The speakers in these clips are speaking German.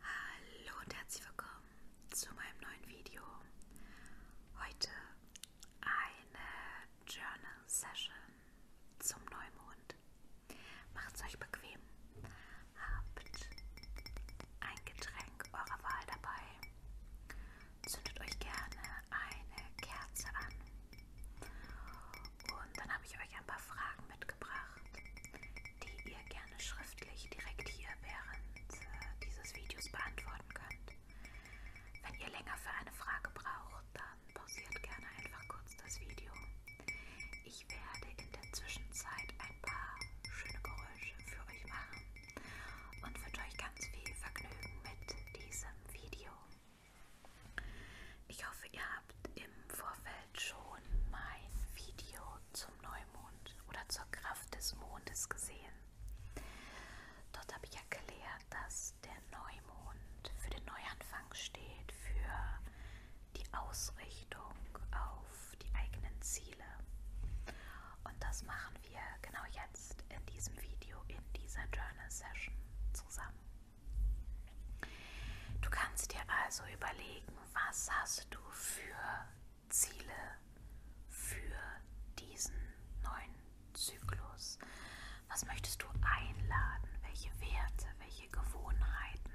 Hallo und herzlich willkommen zu meinem neuen Video. Heute eine Journal Session zum Neumond. Macht's euch bequem. Habt ein Getränk eurer Wahl dabei. Zündet euch gerne eine Kerze an. Und dann habe ich euch ein paar Fragen mitgebracht mitgebracht, die ihr gerne schriftlich direkt hier während äh, dieses Videos beantworten könnt. Wenn ihr länger für eine Frage braucht, dann pausiert gerne einfach kurz das Video. Ich werde in der Zwischenzeit ein paar schöne Geräusche für euch machen und wünsche euch ganz viel Vergnügen mit diesem Video. Ich hoffe, ihr habt im Vorfeld bald schon mein Video zum Neumond oder zur Kraft des Mondes gesehen. Dort habe ich erklärt, dass der Neumond für den Neuanfang steht, für die Ausrichtung auf die eigenen Ziele. Und das machen wir genau jetzt in diesem Video, in dieser Journal Session zusammen. Du kannst dir also überlegen, was hast du für Ziele für diesen neuen Zyklus? Was möchtest du einladen? Welche Werte, welche Gewohnheiten?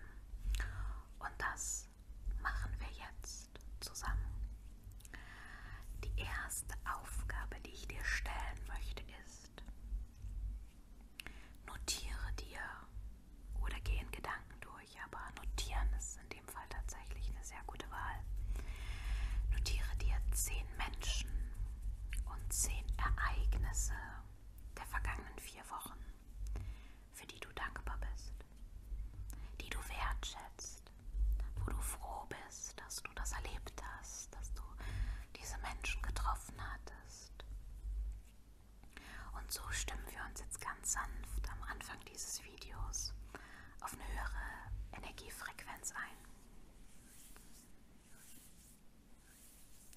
Und das machen wir jetzt zusammen. Die erste Aufgabe, die ich dir stellen möchte, ist, Notiere dir oder geh in Gedanken durch, aber notieren ist in dem Fall tatsächlich eine sehr gute Wahl. Notiere dir zehn Menschen und zehn Ereignisse der vergangenen vier Wochen, für die du dankbar bist, die du wertschätzt, wo du froh bist, dass du das erlebt hast, dass du diese Menschen getroffen hattest, und so stimmen wir uns jetzt ganz sanft am Anfang dieses Videos auf eine höhere Energiefrequenz ein.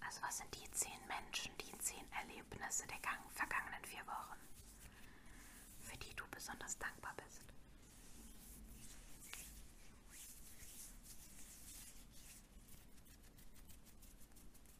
Also was sind die zehn Menschen, die zehn Erlebnisse der vergangenen vier Wochen, für die du besonders dankbar bist?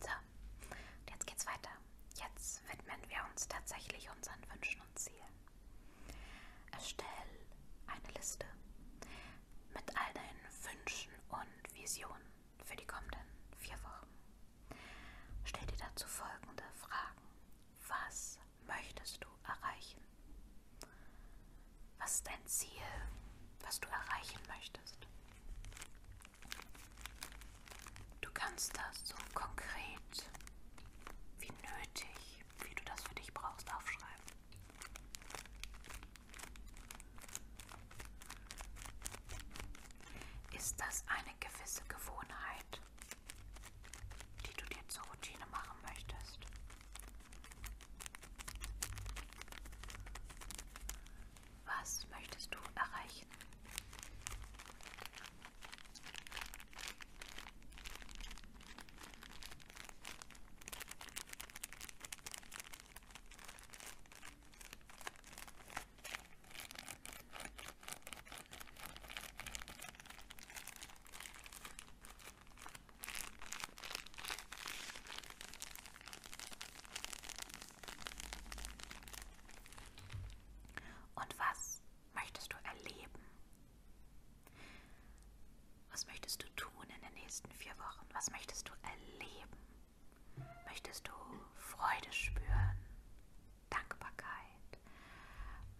So, und jetzt geht's weiter. Jetzt widmen wir uns tatsächlich unseren Wünschen und Zielen. Erstell eine Liste mit all deinen Wünschen und Visionen für die kommenden vier Wochen. Stell dir dazu folgende Fragen. Was möchtest du erreichen? Was ist dein Ziel, was du erreichen möchtest? Du kannst das so konkret wie nötig, wie du das für dich brauchst, aufschreiben. Ist das eine gewisse Gewohnheit, die du dir zur Routine machen möchtest. Was möchtest du erreichen? Und was möchtest du erleben? Was möchtest du tun in den nächsten vier Wochen? Was möchtest du erleben? Möchtest du Freude spüren? Dankbarkeit?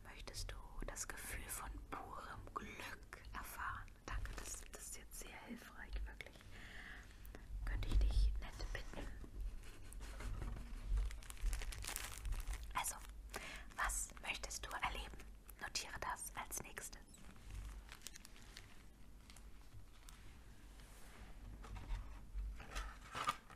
Möchtest du das Gefühl von purem Glück erfahren? Danke, das, das ist jetzt sehr hilfreich, wirklich. Könnte ich dich nett bitten? Also, was möchtest du erleben? Notiere das als nächstes.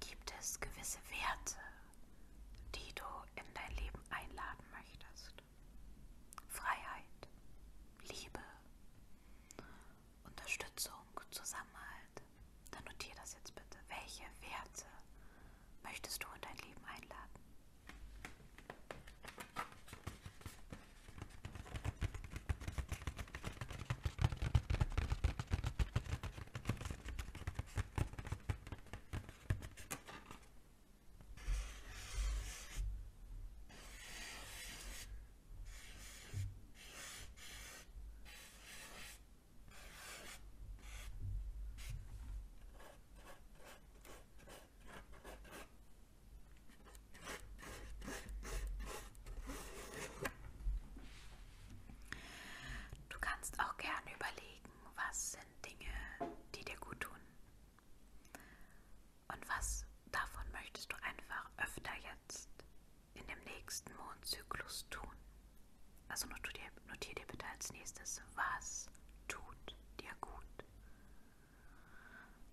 Gibt es gewisse Werte, die du in dein Leben einladen möchtest? Freiheit, Liebe, Unterstützung, Zusammenhalt. Dann notier das jetzt bitte. Welche Werte möchtest du in dein Leben einladen? Hm. Du kannst auch gerne überlegen, was sind Dinge, die dir gut tun. Und was davon möchtest du einfach öfter jetzt in dem nächsten Mondzyklus tun? Also notier dir, notier dir bitte als nächstes, was tut dir gut?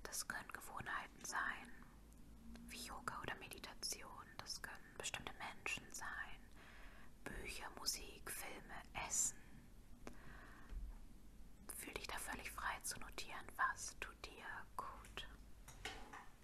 Das können Gewohnheiten sein, wie Yoga oder Meditation. Das können bestimmte Menschen sein, Bücher, Musik, Filme, Essen. Fühl dich da völlig frei zu notieren, was tut dir gut.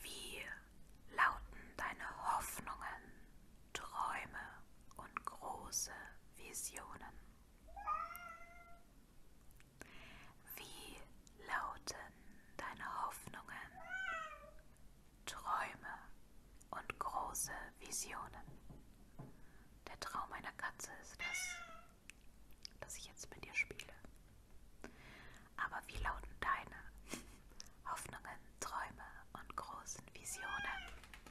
Wie lauten deine Hoffnungen, Träume und große Visionen? Wie lauten deine Hoffnungen, Träume und große Visionen? Der Traum einer Katze ist das, das ich jetzt mit dir spiele. Aber wie lauten deine Hoffnungen, Träume und großen Visionen?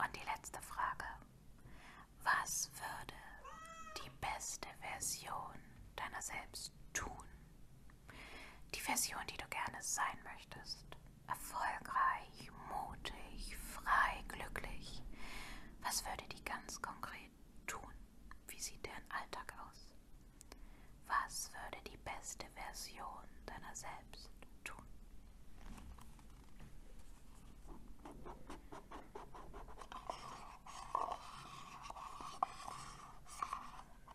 Und die letzte Frage. Was würde die beste Version deiner selbst tun, die Version, die du gerne sein möchtest. Erfolgreich, mutig, frei, glücklich. Was würde die ganz konkret tun? Wie sieht deren Alltag aus? Was würde die beste Version deiner selbst tun?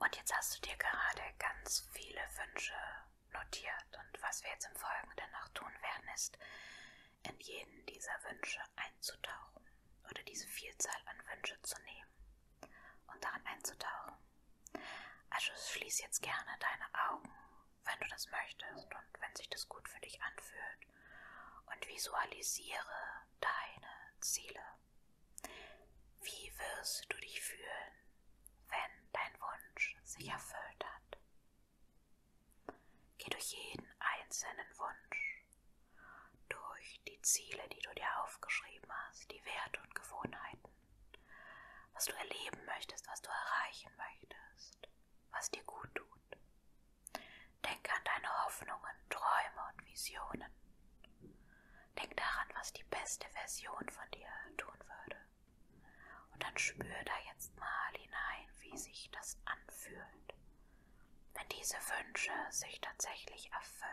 Und jetzt hast du dir gerade ganz viele Wünsche notiert. Und was wir jetzt im Folgenden noch tun werden, ist, in jeden dieser Wünsche einzutauchen oder diese Vielzahl an Wünsche zu nehmen und darin einzutauchen. Also schließ jetzt gerne deine Augen, wenn du das möchtest und wenn sich das gut für dich anfühlt und visualisiere deine Ziele. Wie wirst du dich fühlen, wenn dein Wunsch sich erfüllt hat? Geh durch jeden einzelnen Wunsch durch die Ziele, die du dir aufgeschrieben hast, die Werte und Gewohnheiten, was du erleben möchtest, was du erreichen möchtest, was dir gut tut. Denke an deine Hoffnungen, Träume und Visionen. Denk daran, was die beste Version von dir tun würde. Und dann spür da jetzt mal hinein, wie sich das anfühlt, wenn diese Wünsche sich tatsächlich erfüllen.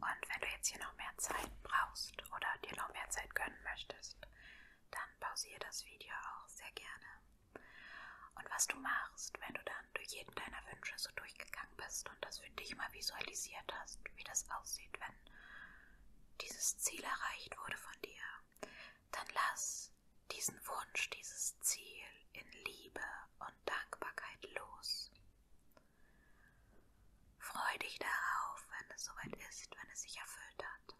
Und wenn du jetzt hier noch mehr Zeit brauchst oder dir noch mehr Zeit gönnen möchtest, dann pausiere das Video auch sehr gerne und was du machst, wenn du dann durch jeden deiner Wünsche so durchgegangen bist und das für dich mal visualisiert hast, wie das aussieht, wenn dieses Ziel erreicht wurde von dir, dann lass diesen Wunsch, dieses Ziel in Liebe und Dankbarkeit los. Freu dich darauf, wenn es soweit ist, wenn es sich erfüllt hat.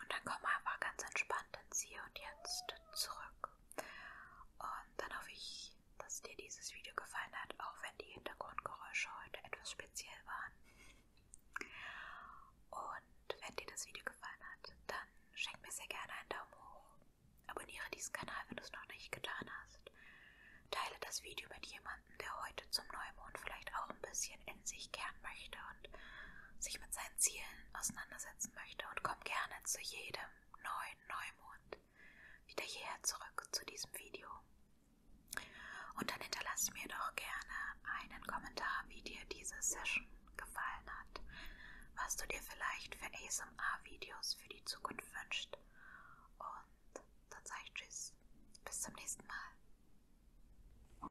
Und dann komm einfach ganz entspannt ins Hier und Jetzt zurück. Und dann hoffe ich, dass dir dieses Video gefallen hat, auch wenn die Hintergrundgeräusche heute etwas speziell waren. Und wenn dir das Video gefallen hat, dann schenk mir sehr gerne einen Daumen hoch. Abonniere diesen Kanal, wenn du es noch nicht getan hast. Teile das Video mit jemandem, der heute zum Neumond vielleicht auch ein bisschen bisschen in sich kehren möchte und sich mit seinen Zielen auseinandersetzen möchte und kommt gerne zu jedem neuen Neumond wieder hierher zurück zu diesem Video. Und dann hinterlasst mir doch gerne einen Kommentar, wie dir diese Session gefallen hat, was du dir vielleicht für ASMR-Videos für die Zukunft wünschst. Und dann sage ich Tschüss, bis zum nächsten Mal.